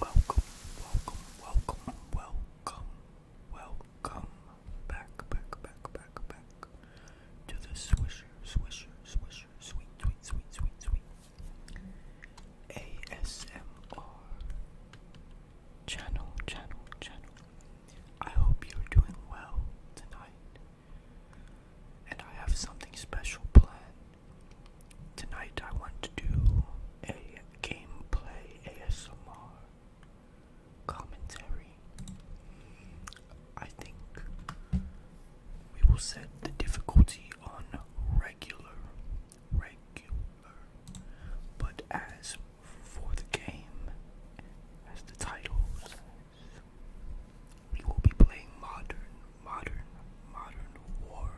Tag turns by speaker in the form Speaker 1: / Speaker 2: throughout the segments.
Speaker 1: Welcome, welcome, welcome, welcome, welcome back, back, back, back, back to the Swisher, Swisher, Swisher, Sweet, Sweet, Sweet, Sweet, Sweet ASMR channel, channel, channel. I hope you're doing well tonight, and I have something special planned Tonight I want to do a gameplay ASMR commentary. I think we will set the difficulty on regular, regular, but as for the game, as the title says, we will be playing modern, modern, modern war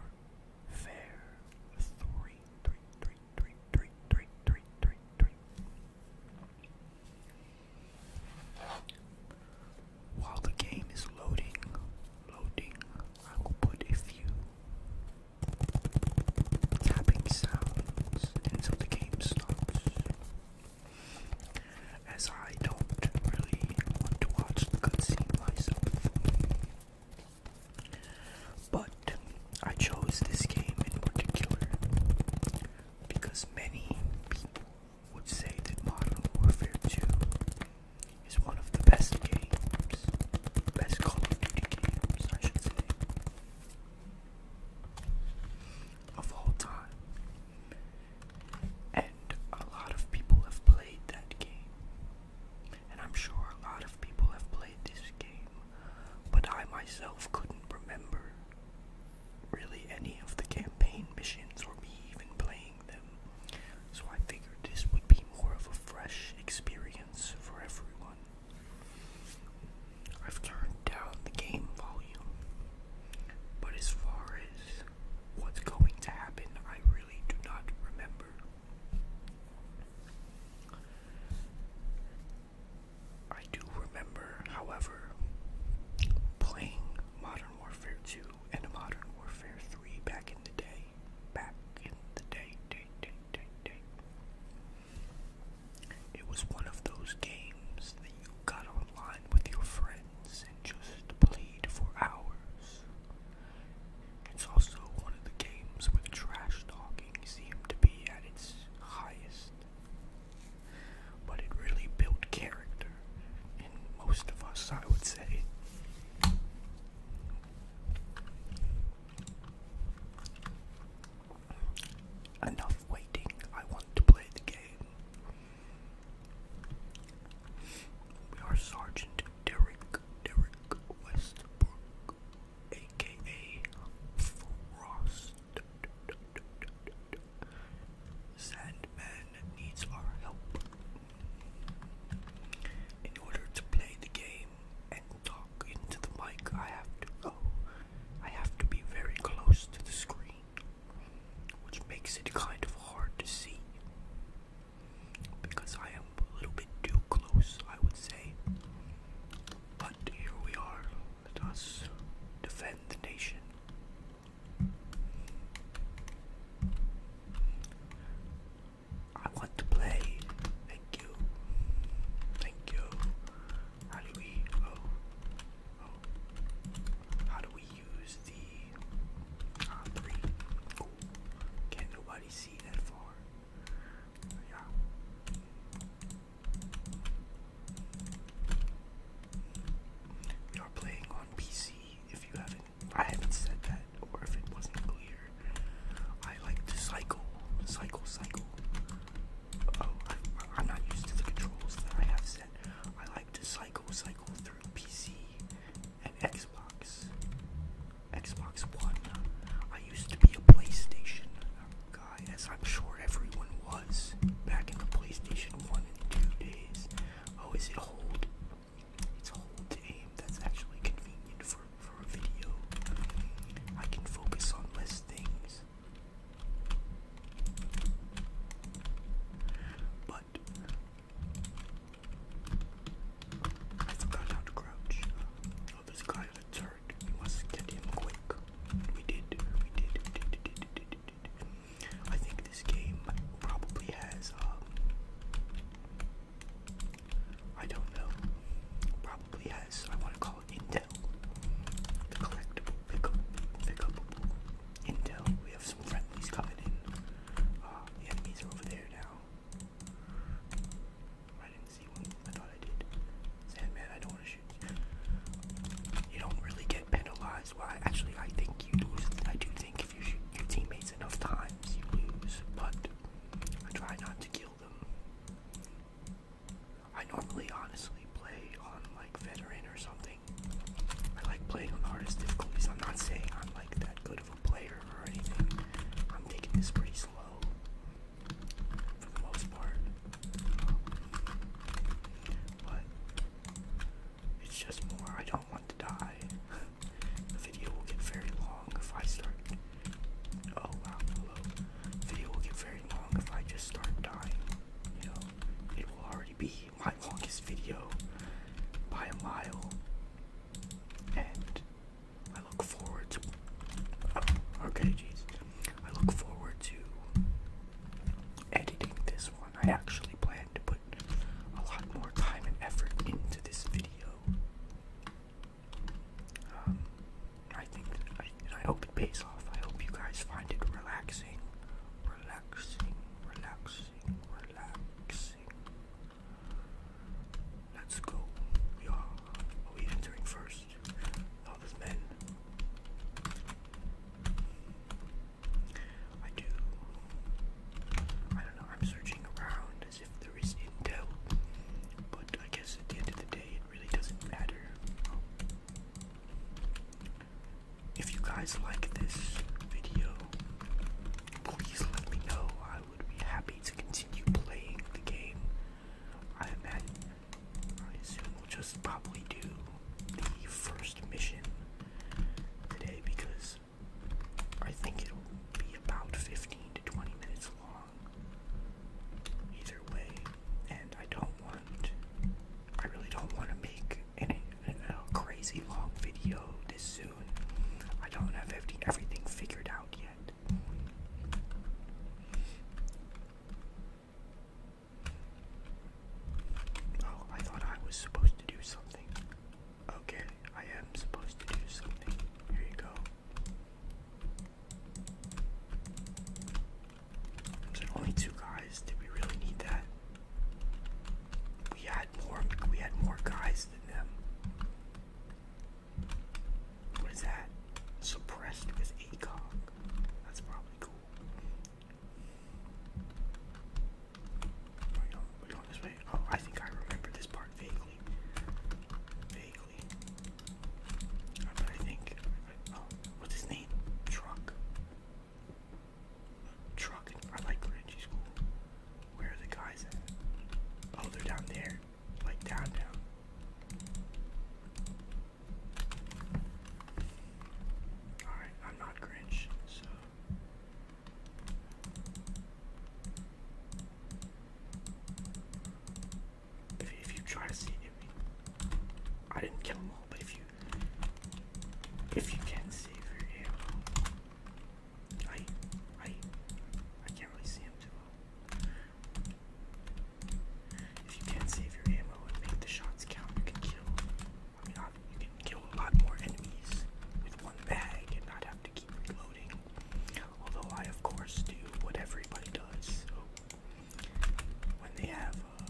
Speaker 1: fair three, three, three, three, three, three, three, three, three. While the game is loading, loading, I will put a few tapping sounds until the game stops. As I don't really want to watch the But I chose this game in particular because many people would say that Modern Warfare 2 is one of the best games, best Call of Duty games, of all time. And a lot of people have played that game. And I'm sure a lot of people have played this game, but I myself couldn't remember really any of the campaign missions or me even playing them. So I figured this would be more of a fresh experience for everyone. I've turned down the game volume, but as far as what's going to happen, I do not remember. I do remember, however, playing Modern Warfare 2 and Modern Warfare 3 back in the day. Back in the day, day, day, day, day. It was one of those games that you got online with your friend and just played for hours. It's also one of the games where the trash talking seemed to be at its highest. But it really built character in most of us, I would say. Enough waiting, I want to play the game. We are Sergeant Derek Derek Westbrook, aka Frost. Sandman needs our help. In order to play the game and talk into the mic, I have to go. I have to be very close to the screen, which makes it kind of hard to see because I am a little bit too close, I would say. But here we are. us defend the nation. I want to play. Thank you. Thank you. How do we? Oh. Oh. How do we use the uh, three. can nobody see that far. Yeah. We are playing on PC. If you haven't, I haven't said that, or if it wasn't clear, I like to cycle, cycle, cycle. Oh, I'm not used to the controls that I have set. I like to cycle, cycle through PC and Xbox. Xbox One. I used to be a PlayStation guy, as I'm sure everyone was back in the PlayStation 1 and 2 days. Oh, is it hold? It's hold to aim. That's actually convenient for, for a video. I can focus on less things. But I forgot how to crouch. Oh, this guy in the turret. We must get him quick. We did. We did. We did. did, did, did, did. I think this game probably has, um, I don't know, probably has, I want to call it Intel. The collectible, pick up, pick up, intel. We have some friendlies coming in. Uh, the enemies are over there now. I didn't see one. I thought I did. Sandman, I don't want to shoot you. don't really get penalized. Well, actually, I think you lose. I do think if you shoot your teammates enough times, you lose. But I try not to kill them. I normally, honestly, play on like veteran or something. I like playing on the hardest difficulties. I'm not saying I'm like that good of a player or anything. I'm taking this pretty slow for the most part. But it's just more, I don't want to die. the video will get very long if I start. Oh wow, hello. video will get very long if I just start dying. You know, it will already be longest video by a mile, and I look forward to. okay, jeez. I look forward to editing this one. I actually plan to put a lot more time and effort into this video. Um, I think, and I hope it pays off. I hope you guys find it relaxing, relaxing, relaxing, relaxing. Let's go. We are. Are we entering first? Not as men. I do. I don't know. I'm searching around as if there is intel, but I guess at the end of the day, it really doesn't matter. If you guys like this video, please let me know. I would be happy to continue playing the game. I imagine, I assume we'll just probably do the first mission today because I think it'll be about 15 to 20 minutes long either way and I don't want I really don't want to make and a crazy long video this soon. I don't have everything figured out yet. Oh, I thought I was supposed to do something. Okay, I am supposed to do something. Here you go. only two guys. Did we really need that? We had more. We had more guys than them. What is that? Suppressed with ACOG. That's probably cool. We're going, this way. Oh, I think I remember this part vaguely. Vaguely. But I think. Uh, oh, what's his name? Truck. Truck. I like Grinchy School. Where are the guys at? Oh, they're down there. Like down, down. Alright, I'm not Grinch, so. If, if you try to see it, I didn't kill them all, but if you. If you can save your I, I, I can't really see him too well. If you can save your ammo and make the shots count, you can kill. I mean, uh, you can kill a lot more enemies with one bag and not have to keep reloading. Although I, of course, do what everybody does. when they have uh,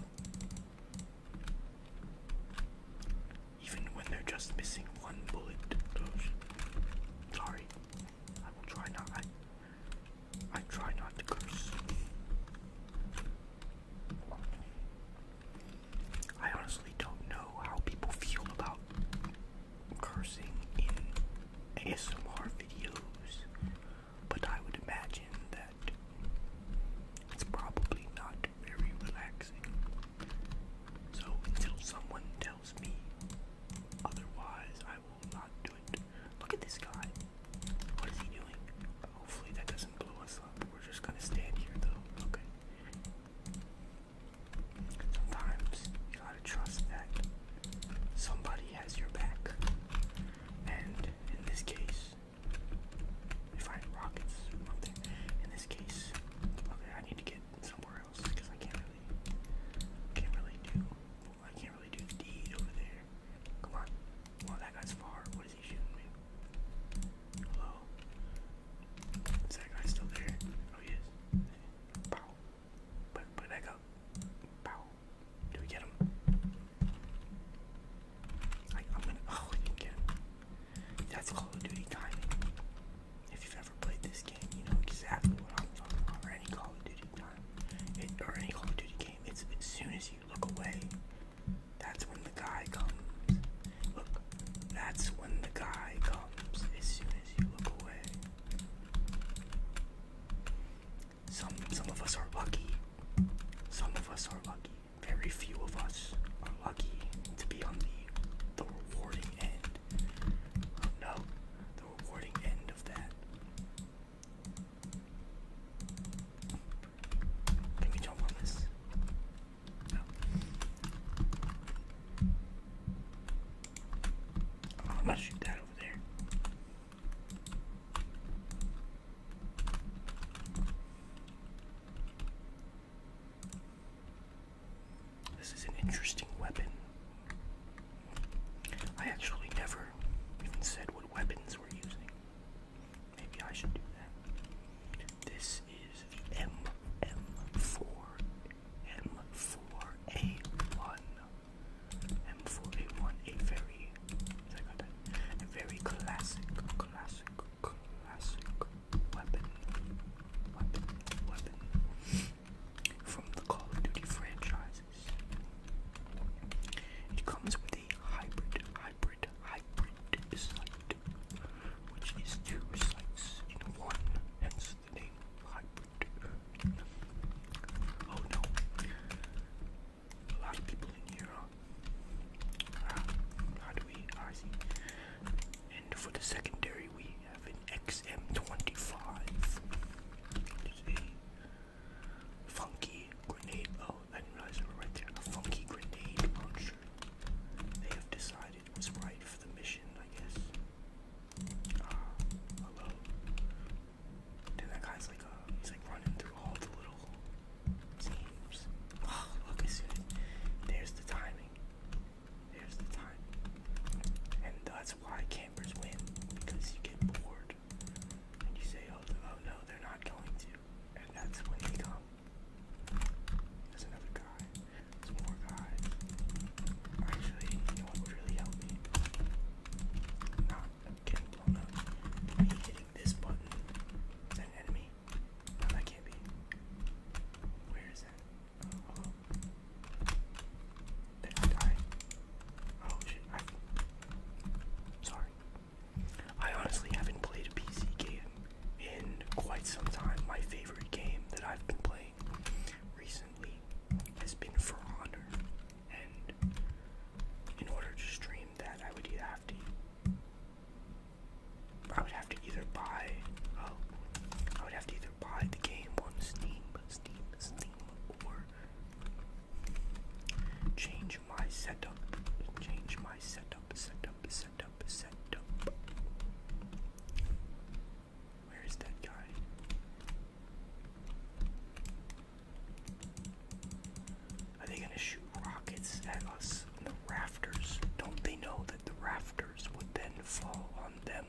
Speaker 1: even when they're just missing one bullet. sorry. I try not I try not to curse. I honestly don't know how people feel about cursing in ASMR videos, but I would imagine that it's probably not very relaxing. So until someone tells me otherwise, I will not do it. Look at this guy. What is he doing? Hopefully that doesn't blow us up. We're just gonna stand here though. Okay. Sometimes you gotta trust that somebody has your back. And in this case, we find rockets or something. In this case, okay, I need to get somewhere else because I can't really, can't really do, I can't really do D over there. Come on. Well, that guy's far. What is he shooting me? Hello? Is that guy still there? Oh, he Pow. Put, put up. Pow. Do we get him? Like, I'm gonna. Oh, you That's Call of Duty timing. If you've ever played this game, you know exactly what I'm talking about. Or any Call of Duty time. It, or any Call of Duty game. It's as soon as you look away, that's when the guy comes. Look, that's when the guy comes. As soon as you look away. Some some of us are lucky. Some of us are lucky very few of us are lucky to be on the the rewarding end. no, the rewarding end of that. Can we jump on this? No. Oh, I'm gonna shoot that over there. This is an interesting weapon. I actually never even said what weapons we're using. Maybe I should do that. This is the M M4 M4A1. M4A1, a very, is that? A very classic classic, weapon, weapon, weapon from the Call of Duty franchises. It comes with a hybrid, hybrid, hybrid sight, which is two sights in one, hence the name hybrid. Oh no. A lot of people in here and for the secondary, we have an XM25. a funky grenade. Oh, I didn't realize they were right there. A funky grenade They have decided was right for the mission, I guess. Ah, hello. Dude, that guy's like, uh, he's like running through all the little Oh, look, I it. There's the timing. There's the timing. And that's why campers win, because you get bored. And you say, oh, oh no, they're not going to. And that's when they come. There's another guy. There's more guys. Actually, you know would really help me? Not getting blown up. Me hitting this button. Is an enemy? that can't be. Where is that? Oh, hello. Did I die? Oh shit, Sorry. I honestly haven't played a PC game in quite some time. My favorite game that I've been playing recently has been For Honor, and in order to stream that, I would have to I would have to either buy. Oh, I would have to either buy the game on Steam, Steam, Steam, or change my setup. Change my setup, setup, setup, setup. Where is that guy? Are they gonna shoot rockets at us in the rafters? Don't they know that the rafters would then fall on them?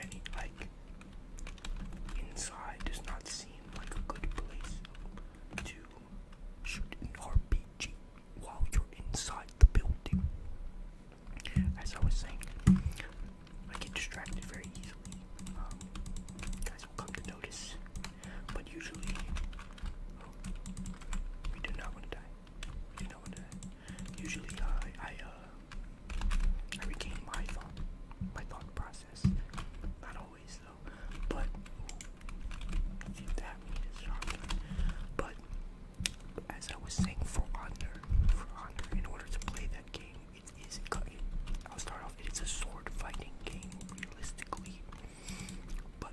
Speaker 1: And like inside does not seem like a good place to shoot an RPG while you're inside the building. As I was saying, I get distracted very easily. Um, guys will come to notice but usually, we do not want to die. We do not want to die. Usually, uh, I uh, I regain my thought, my thought process. Not always though, but ooh, see that meat is shocking. But as I was saying, for honor, for honor, in order to play that game, is. It, I'll start off. It's a sword fighting game, realistically. But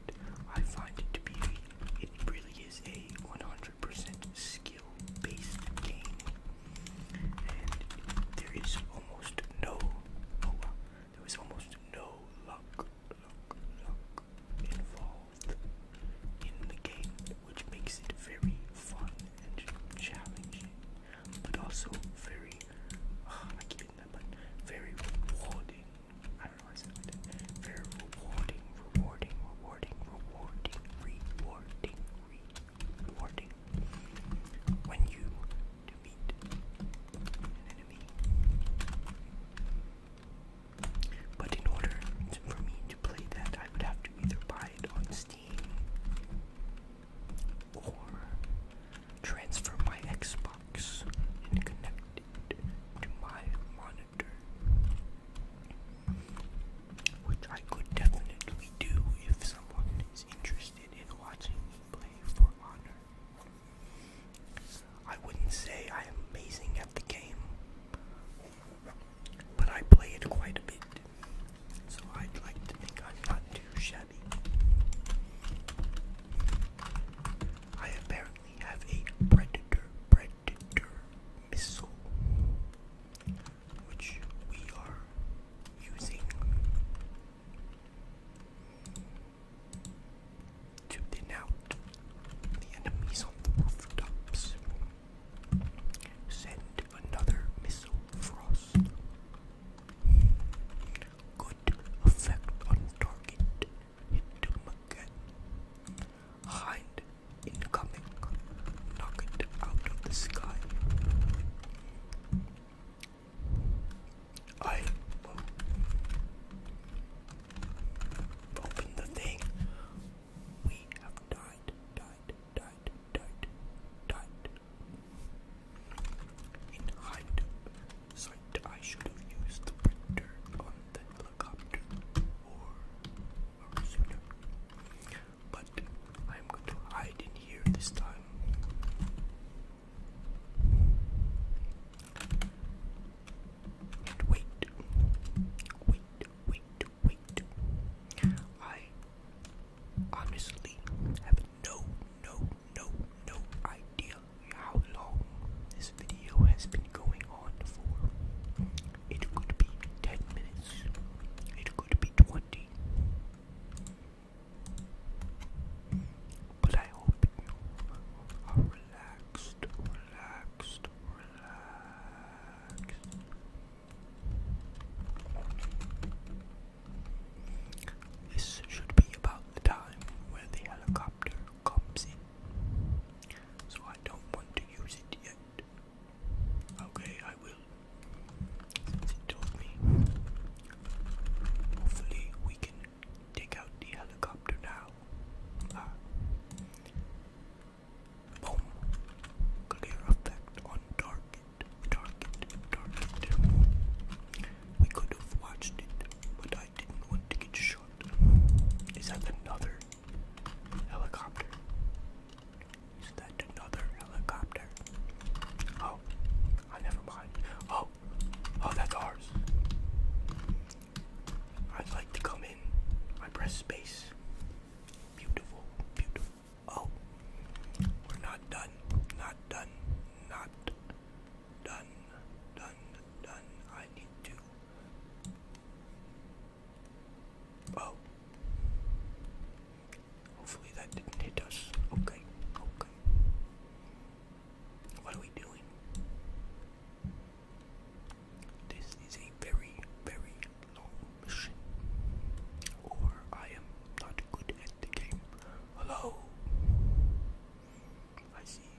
Speaker 1: I find it to be, it really is a 100% skill based game. And there is almost no, oh, there is almost no luck, involved in the game, which makes it very fun and challenging, but also very, ah, but very rewarding. I don't know why I said Very rewarding, rewarding, rewarding, rewarding, rewarding, rewarding. When you defeat an enemy. But in order for me to play that, I would have to either buy it on Steam or transfer my Xbox and connect it to my monitor, which I could definitely do if someone is interested in watching me play For Honor. I wouldn't say I am amazing at the game, but I play it quite a bit, so I'd like to think I'm not too shabby. I apparently have a predator, predator missile, which we are using to thin out the enemies on the rooftops. Send another missile frost. Good effect on target. Hit them again. Hind incoming. Knock it out of the sky. I open the thing. We have died, died, died, died, died. In hindsight, I should have used the printer on the helicopter or, sooner. But I'm going to hide in here this time. And wait, wait, wait, wait. I honestly have no, no, no, no idea how long this video has been going on for. It could be 10 minutes, it could be 20. But I hope you are relaxed, relaxed, relaxed. This should be about the time where the helicopter comes in. So I don't want to use it yet. Okay, I will. Since it told me. Hopefully we can take out the helicopter now. Ah. Boom. Clear effect on target it, darkened, darkened. We could have watched it, but I didn't want to get shot. Is that another helicopter? Is that another helicopter? Oh, I never mind. Oh, oh, that's ours. I'd like to come in. I press space. Beautiful, beautiful. Oh, we're not done. Not done. Not Done, done, done. I need to. Oh. Hopefully that didn't hit us. Okay, okay. What are we doing? This is a very, very long mission. Or I am not good at the game. Hello. I see.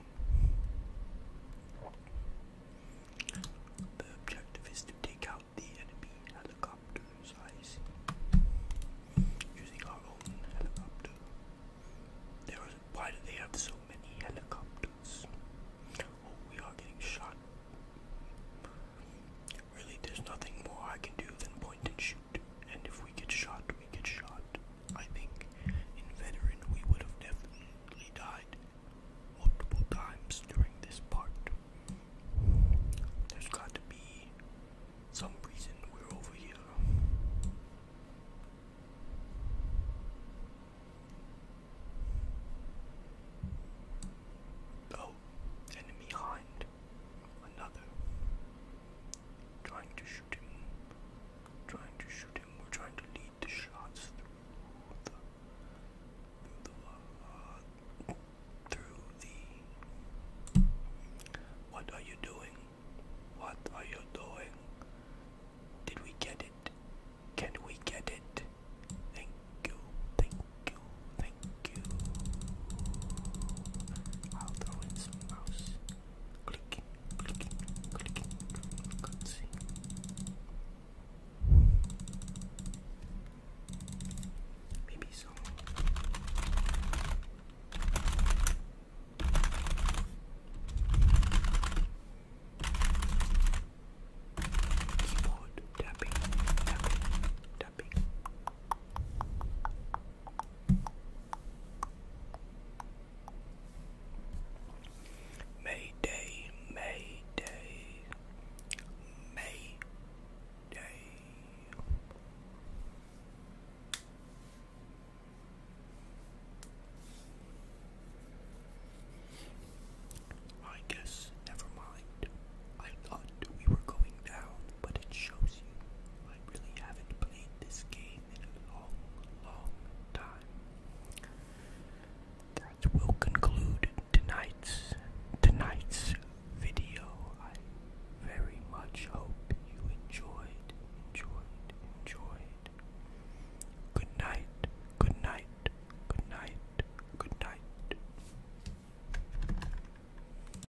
Speaker 1: The objective is to take out the enemy helicopters. I see. Using our own helicopter. There why do they have so many helicopters? Oh, we are getting shot. Really, there's nothing more I can do than point and shoot and if we get shot, we get shot. I think in veteran we would have definitely died multiple times during this part. There's got to be some reason we're over here. Oh, enemy hind another. Trying to shoot him. Trying to shoot him. We're trying to lead the shots through the through the What are you doing? What are you doing? Did we get it? Can we get it? Thank you, thank you, thank you. I'll throw in some mouse. Click, click, click, click, Maybe so. Keyboard tapping, tapping, tapping. Mayday, Mayday, Mayday. I guess, never mind. I thought we were going down, but it shows you I really haven't played this game in a long, long time. That will conclude tonight's tonight's video. I very much hope you enjoyed, enjoyed, enjoyed. Good night, good night, good night, good night.